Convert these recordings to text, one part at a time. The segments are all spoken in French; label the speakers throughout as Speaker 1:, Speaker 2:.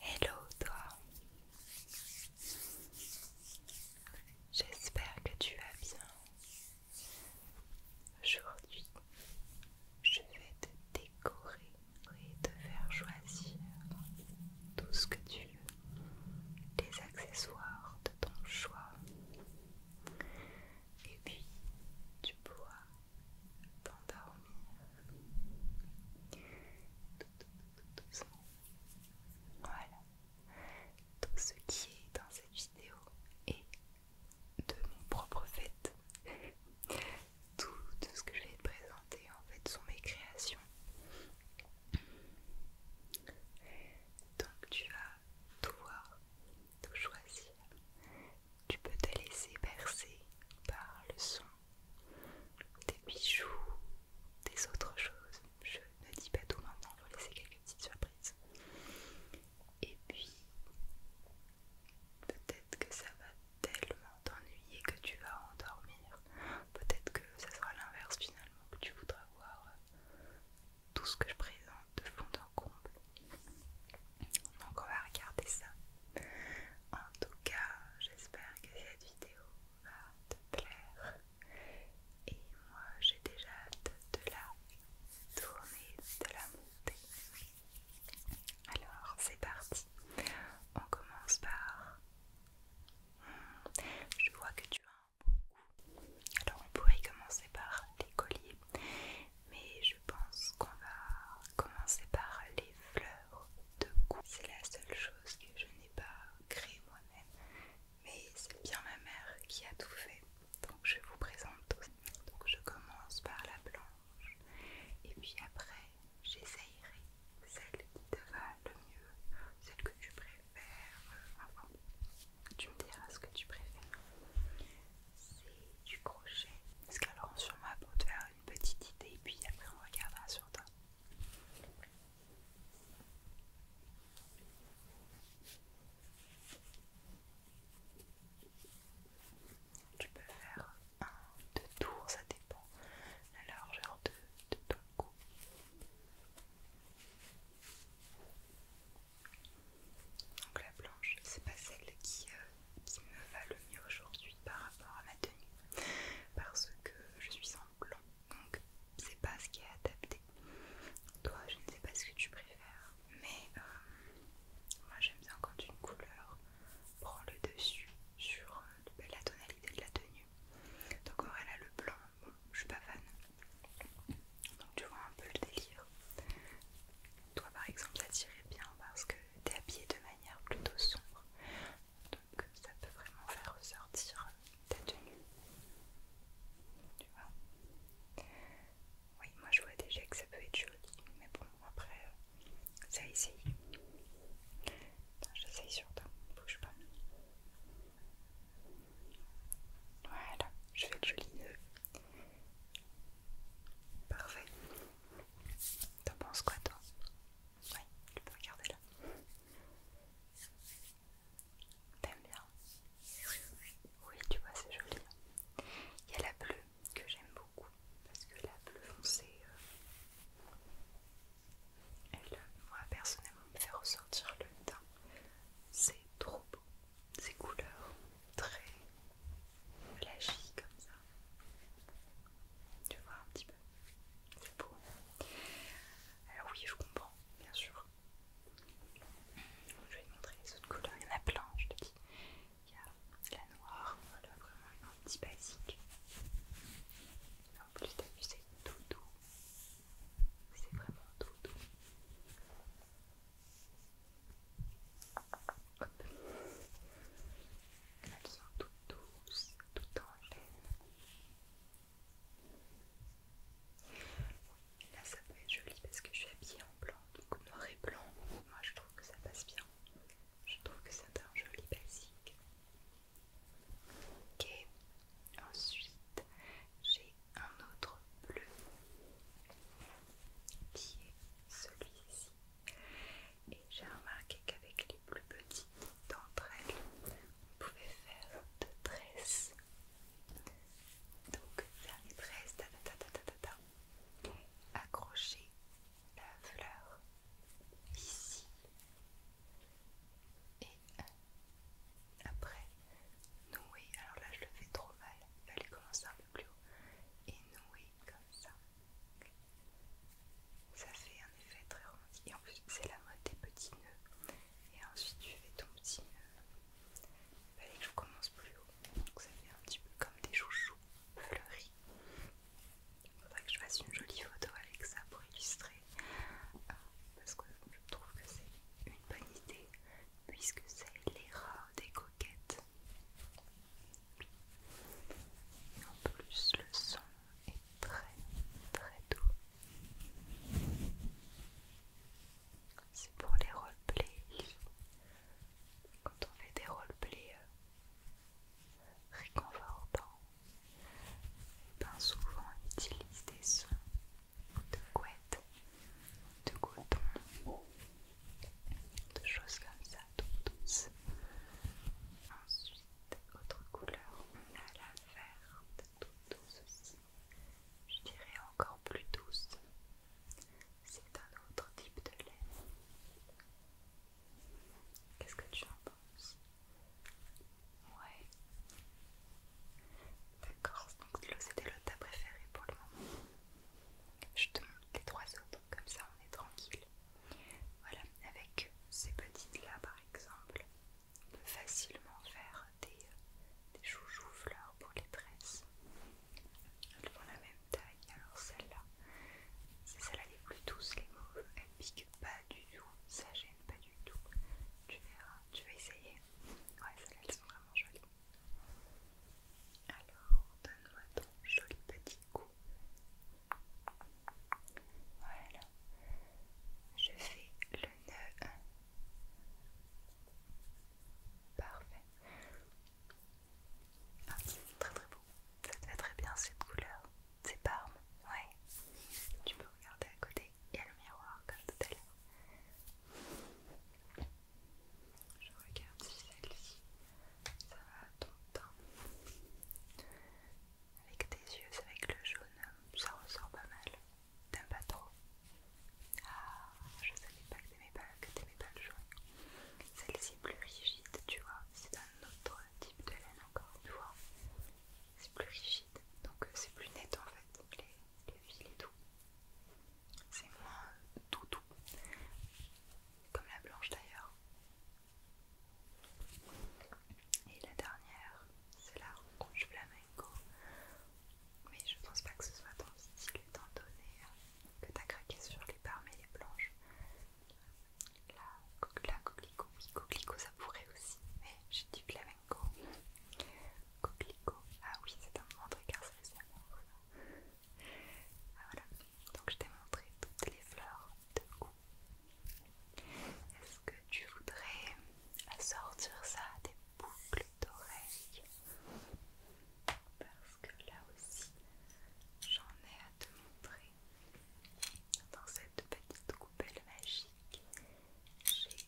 Speaker 1: Hello toi J'espère que tu vas bien. Aujourd'hui, je vais te décorer et te faire choisir tout ce que tu veux, les accessoires de ton choix. Et puis, tu bois t'endormir tout doucement. Voilà. Tout ce qui est dans cette vidéo est de mon propre fait. Tout, tout ce que je vais te présenter en fait sont mes créations. Donc tu vas tout voir, tout choisir. Tu peux te laisser bercer par le son des bijoux, des autres choses. Je ne dis pas tout maintenant, je vais laisser quelques petites surprises. Et puis, peut-être que ça va tellement t'ennuyer que tu vas endormir. Peut-être que ça sera l'inverse finalement, que tu voudras voir euh, tout ce que je présente de fond en comble. Donc on va regarder ça en tout cas, j'espère que cette vidéo va te plaire. Et moi, j'ai déjà hâte de la tourner, de la montée. Alors, c'est parti. On commence par... Hmm, je vois que tu as beaucoup. Alors, on pourrait commencer par les colliers. Mais je pense qu'on va commencer par les fleurs de cou. C'est la seule chose que je n'ai pas créée moi-même, mais c'est bien ma mère qui a tout fait. Donc je vous présente Donc je commence par la blanche et puis après j'essayerai celle qui te va le mieux, celle que tu préfères. Euh, enfin, tu me diras ce que tu préfères. C'est du crochet. Parce qu'alors sur ma peau de une petite idée et puis après on regardera sur toi. Tu peux faire un, deux tours, ça dépend la largeur de, ton cou. Donc la planche, c'est pas celle qui euh, qui me va le mieux aujourd'hui par rapport à ma tenue parce que je suis en blanc donc c'est pas ce qui est adapté toi je ne sais pas ce que tu préfères mais euh, moi j'aime bien quand une couleur prend le dessus sur euh, ben, la tonalité de la tenue donc a le blanc je suis pas fan donc tu vois un peu le délire toi par exemple ça tirait bien parce que t'es habillé de manière plutôt sombre. Donc ça peut vraiment faire ressortir ta tenue. Tu vois Oui, moi je vois déjà que ça peut être joli, mais bon, après, ça essaye. J'essaye sur toi, bouge pas. Voilà, je fais le joli nœud. Parfait. T'en penses quoi toi Oui, tu peux regarder là. T'aimes bien Oui, tu vois, c'est joli. Il y a la bleue que j'aime beaucoup parce que la bleue foncée, euh, elle, euh, moi personnellement, me fait ressortir le teint. C'est trop beau. Ces couleurs très flashy comme ça. Tu vois un petit peu. C'est beau. Alors oui, je comprends, bien sûr. Je vais te montrer les autres couleurs. Il y en a plein, je te dis. Il y a la noire, voilà, vraiment un petit basique. Ah, en plus, t'as vu, c'est tout doux. C'est vraiment tout doux. Elles sont toutes douces, toutes en Là, ça peut être joli parce que je suis habillée en blanc, donc noir et blanc. Moi, je trouve que ça passe bien. Je trouve que c'est un joli basique. Ok, ensuite j'ai un autre bleu qui est celui-ci. Et j'ai remarqué qu'avec les plus petites d'entre elles, on pouvait faire de tresses. Donc faire des tresses, tata accrocher la fleur ici. Et après, nouer. Alors là, je le fais trop mal. Il fallait commencer plus haut et nouer comme ça. Ça fait un effet très romantique. Et en plus, c'est la mode des petits nœuds. Et ensuite, tu fais ton petit nœud. Il que je commence plus haut. Donc, ça fait un petit peu comme des chouchous fleuris. Il faudrait que je fasse une jolie photo avec ça pour illustrer. parce que je trouve que c'est une bonne idée. Puisque c'est les rats déco et en plus, le son est très très doux. C'est pour les roleplays. Quand on fait des roleplays euh, réconfortants, réconfortants, eh ben, souvent on utilise des sons de couette, de coton, de choses comme ça, toutes douces. Ensuite, autre couleur, on a la verte, toutes douce aussi. Je dirais encore plus douce. C'est un autre type de laine. Qu'est-ce que tu en penses Ouais. D'accord, donc c'était le ta préféré pour le moment. Je te montre les trois autres comme ça on est tranquille. Voilà, avec ces petites là par exemple, on peut facilement faire des, euh, des fleurs pour les tresses. Elles font la même taille, alors celle-là, c'est celle-là plus douces, les mauves, elles piquent pas du tout, ça gêne pas du tout. Tu verras, tu vas essayer. Ouais, celles-là elles sont vraiment jolies. Alors, donne-moi ton joli petit coup. Voilà. Je fais le nœud. Parfait. Ah, très très beau. Ça te très bien cette couleur. C'est parme. Ouais. Tu peux regarder à côté. Il y a le miroir comme tout à l'heure. Je regarde si celle-ci, ça va tout ton teint. Avec tes yeux, avec le jaune, ça ressort pas mal. T'aimes pas trop Ah, je savais pas que t'aimais pas, que pas le jaune. Celle-ci est plus rigide, tu vois. C'est un autre type de laine encore tu vois. C'est plus rigide, donc euh, c'est plus net en fait. Les, les fils et tout. C'est moins doux comme la blanche d'ailleurs. Et la dernière, c'est la rouge flamenco. Mais je pense pas que ce soit ton style étant donné euh, que t'as craqué sur les parmes et les blanches. La, la coquelicot, oui, coquelicot ça pourrait aussi, mais j'ai du flamenco. Coquelicot, ah oui, c'est un moment de c'est ah, voilà, donc je t'ai montré toutes les fleurs de goût. Est-ce que tu voudrais assortir ça à des boucles d'oreilles Parce que là aussi, j'en ai à te montrer. Dans cette petite coupelle magique, j'ai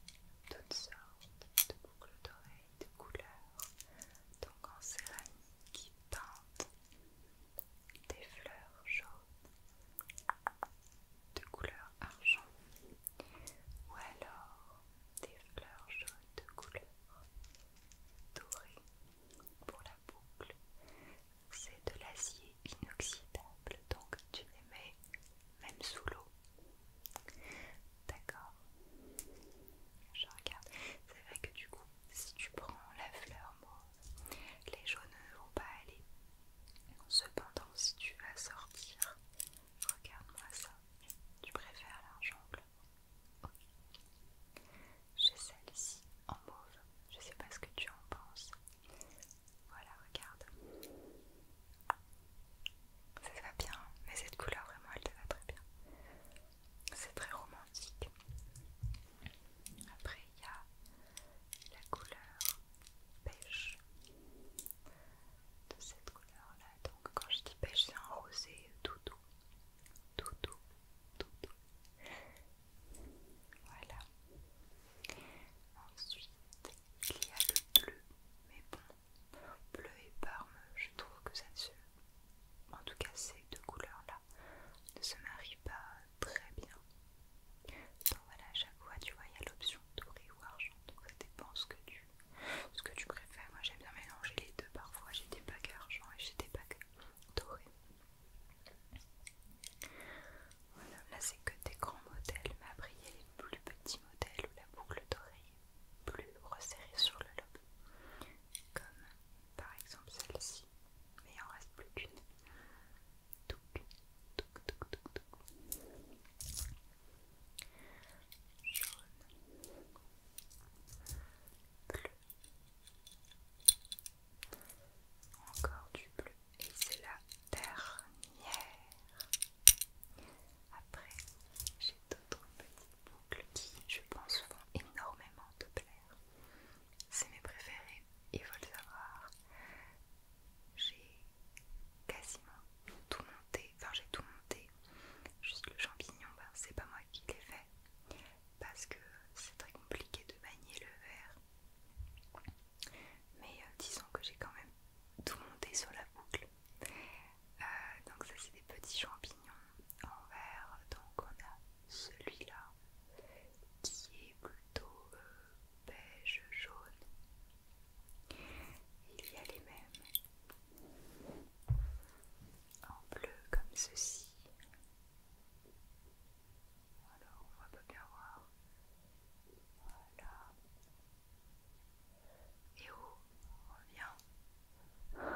Speaker 1: toutes sortes de boucles d'oreilles de couleurs, donc en céramique, peintes des fleurs jaunes de couleur argent ou alors des fleurs jaunes de couleur dorée pour la boucle. C'est de l'acier inoxydable donc tu les mets même sous l'eau. D'accord je regarde. C'est vrai que du coup, si tu prends la fleur mauve, les jaunes ne vont pas aller. Cependant, si tu vas sortir, regarde-moi ça. Tu préfères l'argent bleu J'ai celle-ci en mauve. Je sais pas ce que tu en penses. Voilà, regarde. Ça va bien, mais cette couleur vraiment elle te va très bien c'est très romantique. Après, il y a la couleur pêche de cette couleur là. Donc, quand je dis pêche, c'est un rosé tout doux, tout doux, tout doux. Voilà. Ensuite, il y a le bleu, mais bon, bleu et parme, je trouve que ça se. En tout cas, ces deux couleurs là ne se marie pas très bien. Donc voilà, à chaque fois, tu vois, il y a l'option doré ou argent. Donc ça dépend ce que tu, ce que tu préfères. Moi j'aime bien mélanger les deux parfois. J'ai des bagues argent et j'ai des bagues dorés. Voilà, là c'est que des grands modèles, mais après il y a les plus petits modèles où la boucle dorée est plus resserrée sur le lobe comme par exemple celle-ci, mais il en reste plus qu'une. Jaune, bleu, encore du bleu, et c'est la dernière. Après, d'autres petites boucles qui, je pense, vont énormément te plaire. C'est mes préférés, il faut le savoir. J'ai quasiment tout monté, enfin j'ai tout monté, juste le champignon, ben, c'est pas moi qui l'ai fait, parce que c'est très compliqué de manier le verre. Mais euh, disons que j'ai quand même tout monté sur la boucle. Euh, donc ça c'est des petits champignons en vert. Donc on a celui-là qui est plutôt euh, beige jaune. Il y a les mêmes en bleu comme ceci. Voilà, on va pas bien voir. Voilà. Et où on revient...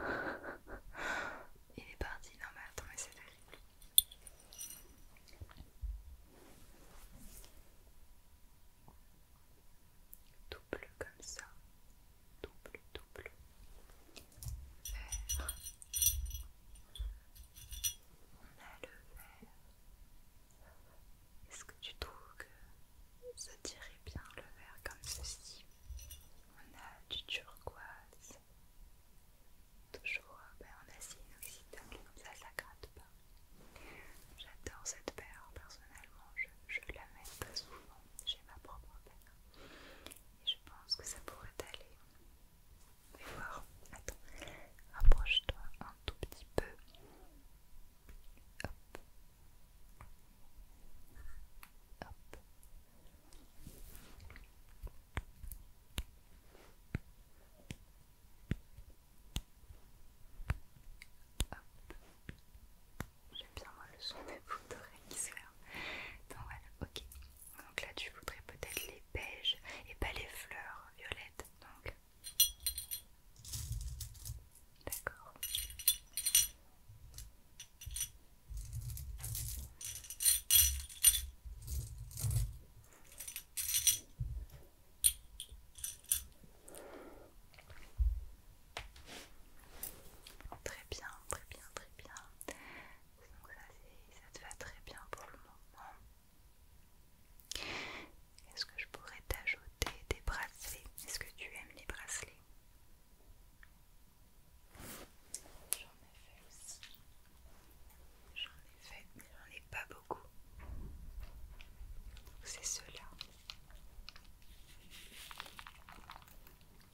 Speaker 1: Il est parti. Non mais attends, mais c'est terrible. Double comme ça. Double, double. Vert. On a le vert. Est-ce que tu trouves que ça tirait bien le vert comme ceci on a du turquoise, toujours ben, en si inoxydable, comme ça ça gratte pas. J'adore cette paire, personnellement je, la mets pas souvent, j'ai ma propre paire. Et je pense que ça pourrait aller. va voir, attends, rapproche-toi un tout petit peu. Hop. J'aime bien le son des bouts d'oreilles qui se ferment. Donc voilà, ok. Donc là tu voudrais peut-être les beiges et pas les fleurs violettes. Donc d'accord. Très bien, très bien, très bien. Donc ça, ça te va très bien pour le moment. Est-ce que je pourrais t'ajouter des bracelets Est-ce que tu aimes les bracelets J'en ai fait aussi. J'en ai fait, mais j'en ai pas beaucoup. C'est ceux-là.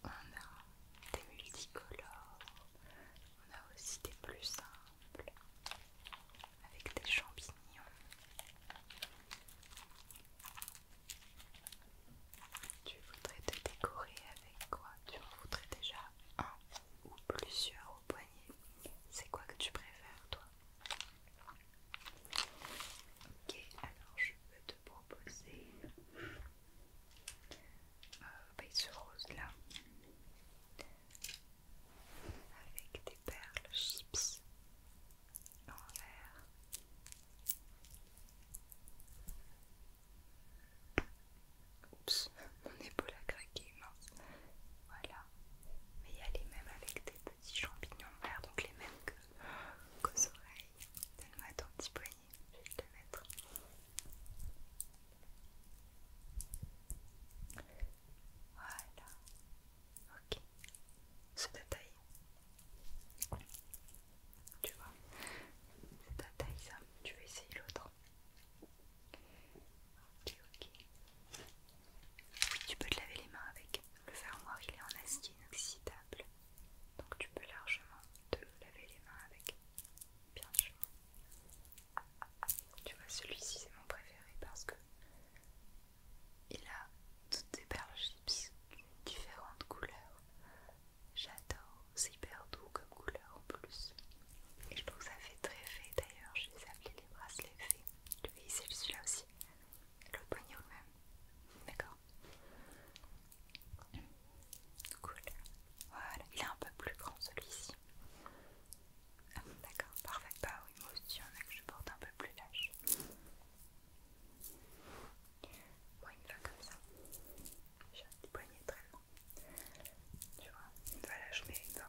Speaker 1: On a des multicolores. On a aussi des plus simples. Avec des champignons. Tu voudrais te décorer avec quoi Tu en voudrais déjà un ou plusieurs au poignet. C'est quoi que tu préfères, toi Ok, alors je peux te proposer euh, bah, ce rose-là avec des perles en vert Oups, mon épaule a craqué, Voilà. Mais il y a les mêmes avec des petits champignons verts, donc les mêmes qu'aux oreilles. Donne-moi ton petit poignet, je vais te le mettre. Voilà. Ok. Ce détail. Tu vois, c'est ta taille ça, tu veux essayer l'autre. Ok, ok. tu peux te laver les mains avec. Le fermoir il est en acier inoxydable. Donc tu peux largement te laver les mains avec. Bien sûr. Tu vois, celui-ci c'est mon préféré parce que il a toutes des perles chips différentes couleurs J'adore, c'est hyper doux comme couleur en plus. Et je trouve que ça fait très fait d'ailleurs, je les appeler les bracelets je Lui, c'est celui-là aussi. Le poignet lui même. D'accord. Cool. Voilà, il est un peu plus grand celui-ci. D'accord, parfait. Bah oui, moi aussi, il y en a que je porte un peu plus lâche. Moi, une fois comme ça, j'ai un petit poignet très long. Tu vois, une fois là, je mets une fois.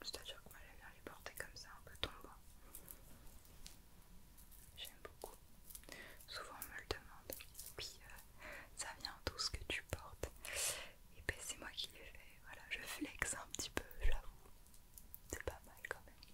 Speaker 1: C'est-à-dire que moi, j'aime bien les porter comme ça, un peu tombant. J'aime beaucoup. Souvent, on me le demande. Puis, euh, ça vient tout ce que tu portes. Et ben, c'est moi qui l'ai fais. Voilà, je flex un petit peu, j'avoue. C'est pas mal quand même.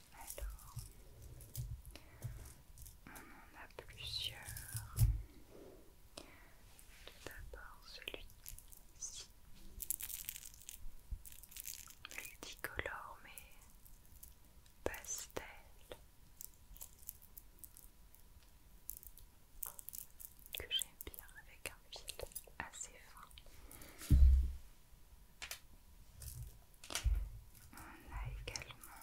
Speaker 1: Alors, on en a plusieurs. Tout d'abord celui-ci. Multicolore mais pastel. Que j'aime bien avec un fil assez fin. On a également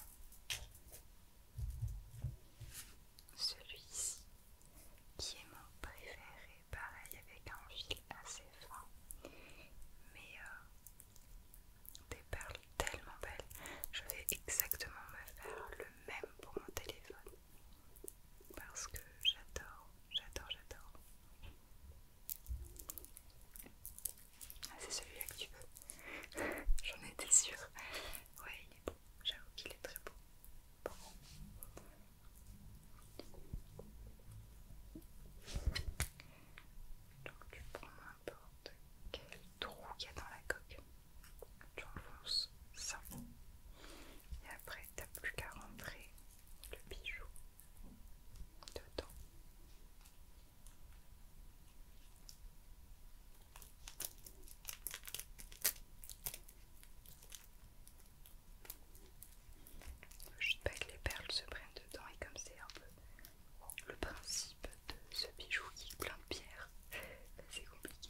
Speaker 1: celui-ci qui est mon préféré, pareil avec un fil assez fin, mais euh, des perles tellement belles. Je vais exactement me faire le même pour mon téléphone parce que j'adore, j'adore, j'adore. Ah, c'est celui-là que tu veux. J'en étais sûre. Ouais, il est beau. J'avoue qu'il est très beau. Donc tu prends n'importe quel trou qu'il y a dans la coque. Tu enfonces ça. Et après, t'as plus qu'à rentrer le bijou dedans. Il pas que les perles se prennent dedans et comme c'est un peu le principe de ce bijou qui est plein de pierres, c'est compliqué.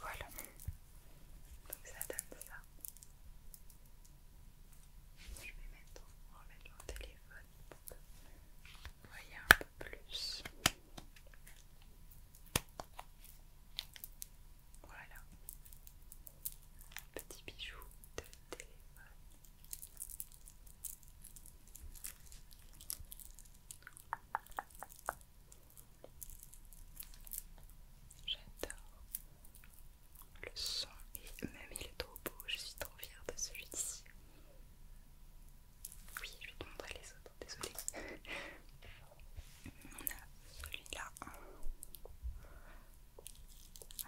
Speaker 1: Voilà. Donc ça donne ça. Je vais mettre, remettre mon téléphone pour que vous voyez un peu plus. Voilà. Petit bijou de téléphone. J'adore le son et même il est trop beau, je suis trop fière de celui-ci. Oui, je vais te montrer les autres, désolée. On a celui-là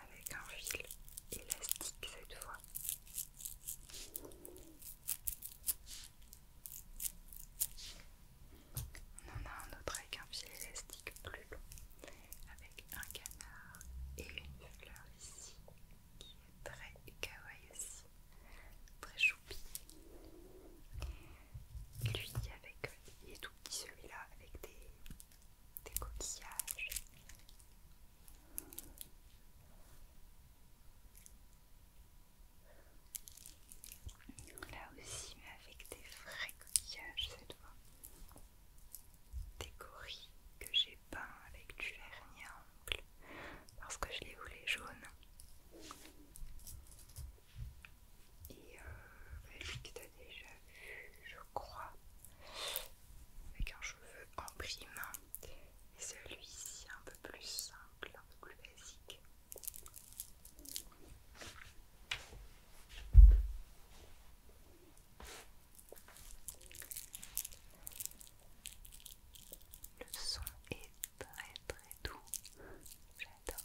Speaker 1: avec un fil élastique cette fois. On en a un autre avec un fil élastique plus long, avec un canard et une fleur ici, qui est très kawaii aussi, très choupi. Lui, avec, il tout petit celui-là, avec des coquillages. Là aussi, mais avec des vrais coquillages cette fois. Des gorilles que j'ai peint avec du vernis à ongles parce que je l'ai voulais jaune Et celui euh, bah, que tu as déjà vu, je crois, avec un cheveu en prime. Et celui-ci un peu plus simple, un peu plus basique. Le son est très très doux, j'adore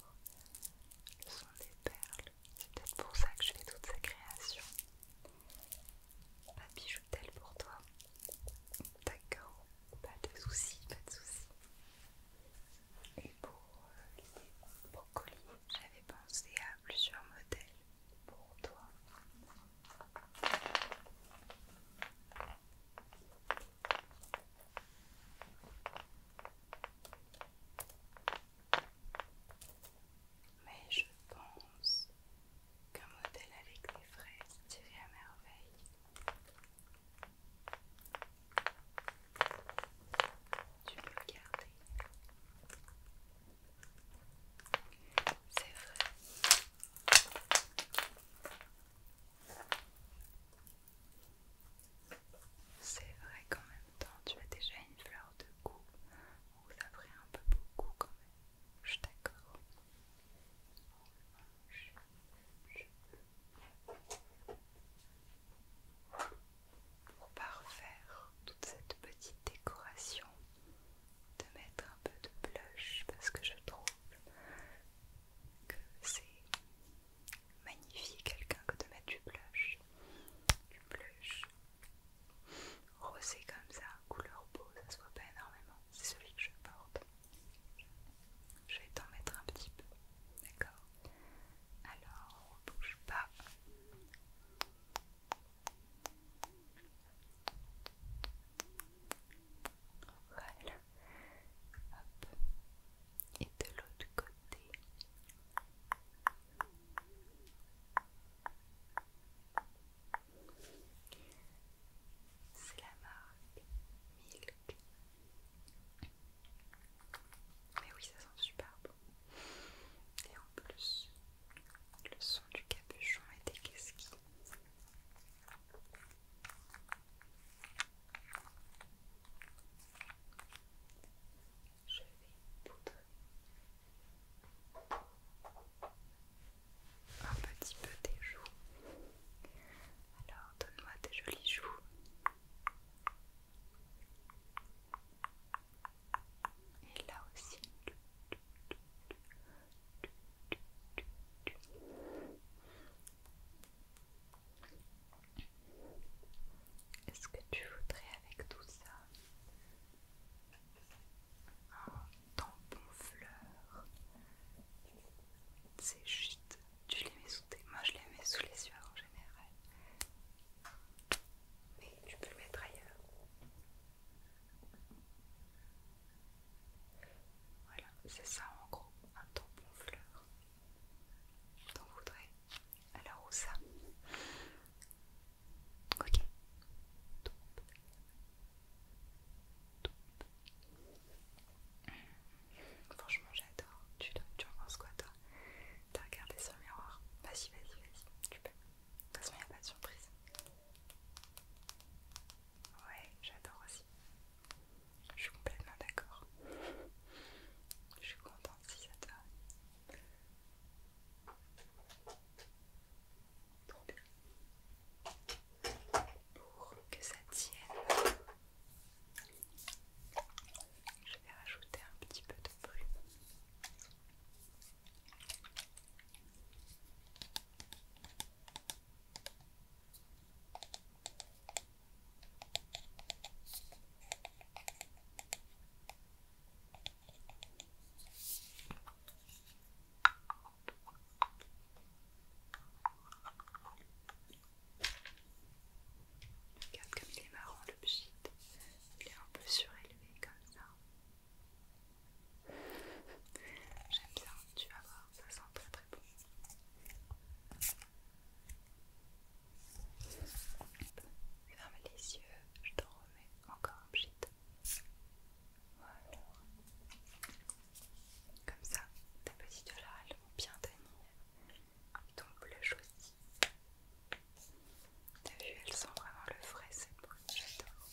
Speaker 1: le son des perles, c'est peut-être pour ça que je fais toutes ces créations. Pas pour toi D'accord, pas de soucis, pas de soucis. Et pour euh, les j'avais pensé à plusieurs modèles pour toi. Mais je pense qu'un modèle avec des fraises tirait à merveille tu peux regarder C'est vrai. C'est vrai quand même temps, tu as déjà une fleur de goût On ça un peu beaucoup quand même. Je suis pour parfaire toute cette petite décoration, de mettre un peu de blush parce que je trouve que c'est magnifique quelqu'un que de mettre du blush, du blush rosé comme ça, couleur beau, ça se voit pas énormément, c'est celui que je porte. Je vais t'en mettre un petit peu, d'accord Alors, on bouge pas. Voilà. Hop. Et de l'autre côté. C'est la marque Milk mais oui, ça sent super bon. Et en plus, le son du capuchon et des Je vais poudrer un petit peu des joues alors donne-moi tes jolies joues. Et là aussi. Est-ce que tu voudrais avec tout ça un tampon fleur C'est juste tu les mets sous tes Moi, je les mets sous les yeux en général. Mais tu peux le mettre ailleurs. Voilà, c'est ça en gros, un tampon fleur. T'en voudrais Alors où ça Ok. Franchement, j'adore. Tu, en penses quoi, toi T'as regardé sur le miroir Vas-y, vas-y, vas-y, tu peux. De toute façon, il n'y a pas de surprise. Ouais, j'adore aussi. Je suis complètement d'accord. Je suis contente si ça te va. Pour que ça tienne je vais rajouter un petit peu de brume. Regarde comme il est marrant le pchit. Il est un peu surélevé comme ça. J'aime bien, tu vas voir, ça sent très très bon. Ferme les yeux, je te remets encore un pchit. Voilà. Comme ça, ta petite là elles vont bien tenir. Ton blush aussi. T'as vu, elles sont vraiment le frais, cette boule. J'adore.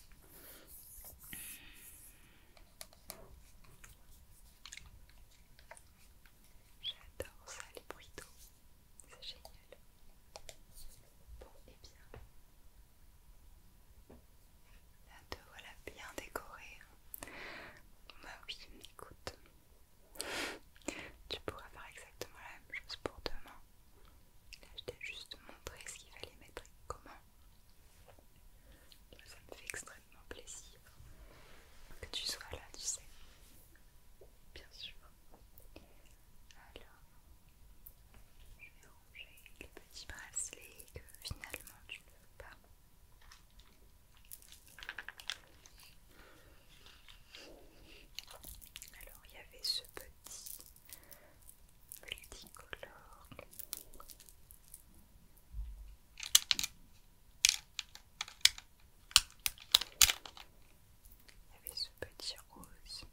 Speaker 1: J'adore ça, les bruits d'eau. C'est génial. Bon, et eh bien, Là, te voilà bien décoré hein. Bah oui, écoute. tu pourras faire exactement la même chose pour demain. Là, je t'ai juste montré ce qu'il fallait mettre et comment. Ça me fait extrêmement plaisir que tu sois là, tu sais. Bien sûr. Alors, je vais ranger les petits bracelets que finalement tu ne veux pas. Alors il y avait ce petit multicolore. Il y avait ce petit rose.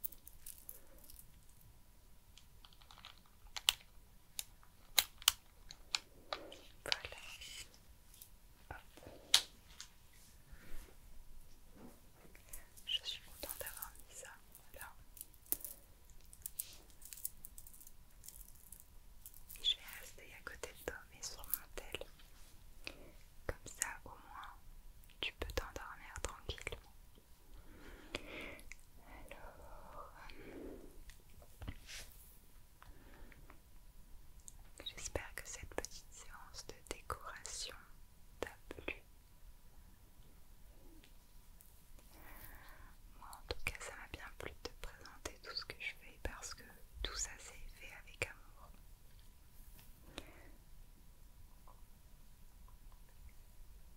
Speaker 1: Je suis contente d'avoir mis ça là. je vais rester à côté de toi mais sur mon tel. Comme ça au moins tu peux t'endormir tranquillement. Alors... J'espère que cette petite séance de décoration t'a plu. Moi en tout cas ça m'a bien plu de te présenter tout ce que je fais parce que tout ça c'est fait avec amour.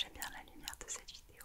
Speaker 1: J'aime bien la lumière de cette vidéo.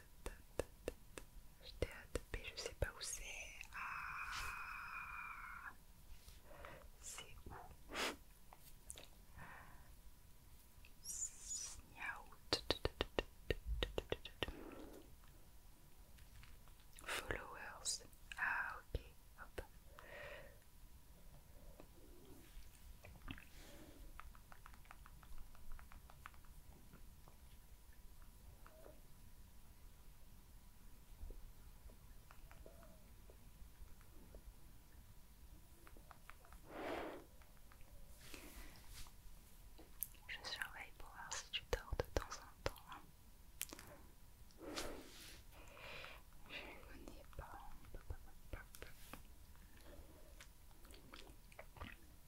Speaker 1: J'étais à je sais pas où c'est. Ah. c'est où Followers. Ah ok. Hop. Je surveille pour voir si tu dors de temps en temps. pas.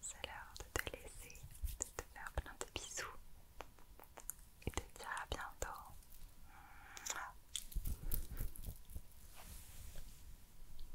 Speaker 1: c'est l'heure de te laisser, de te faire plein de bisous et de te dire à bientôt.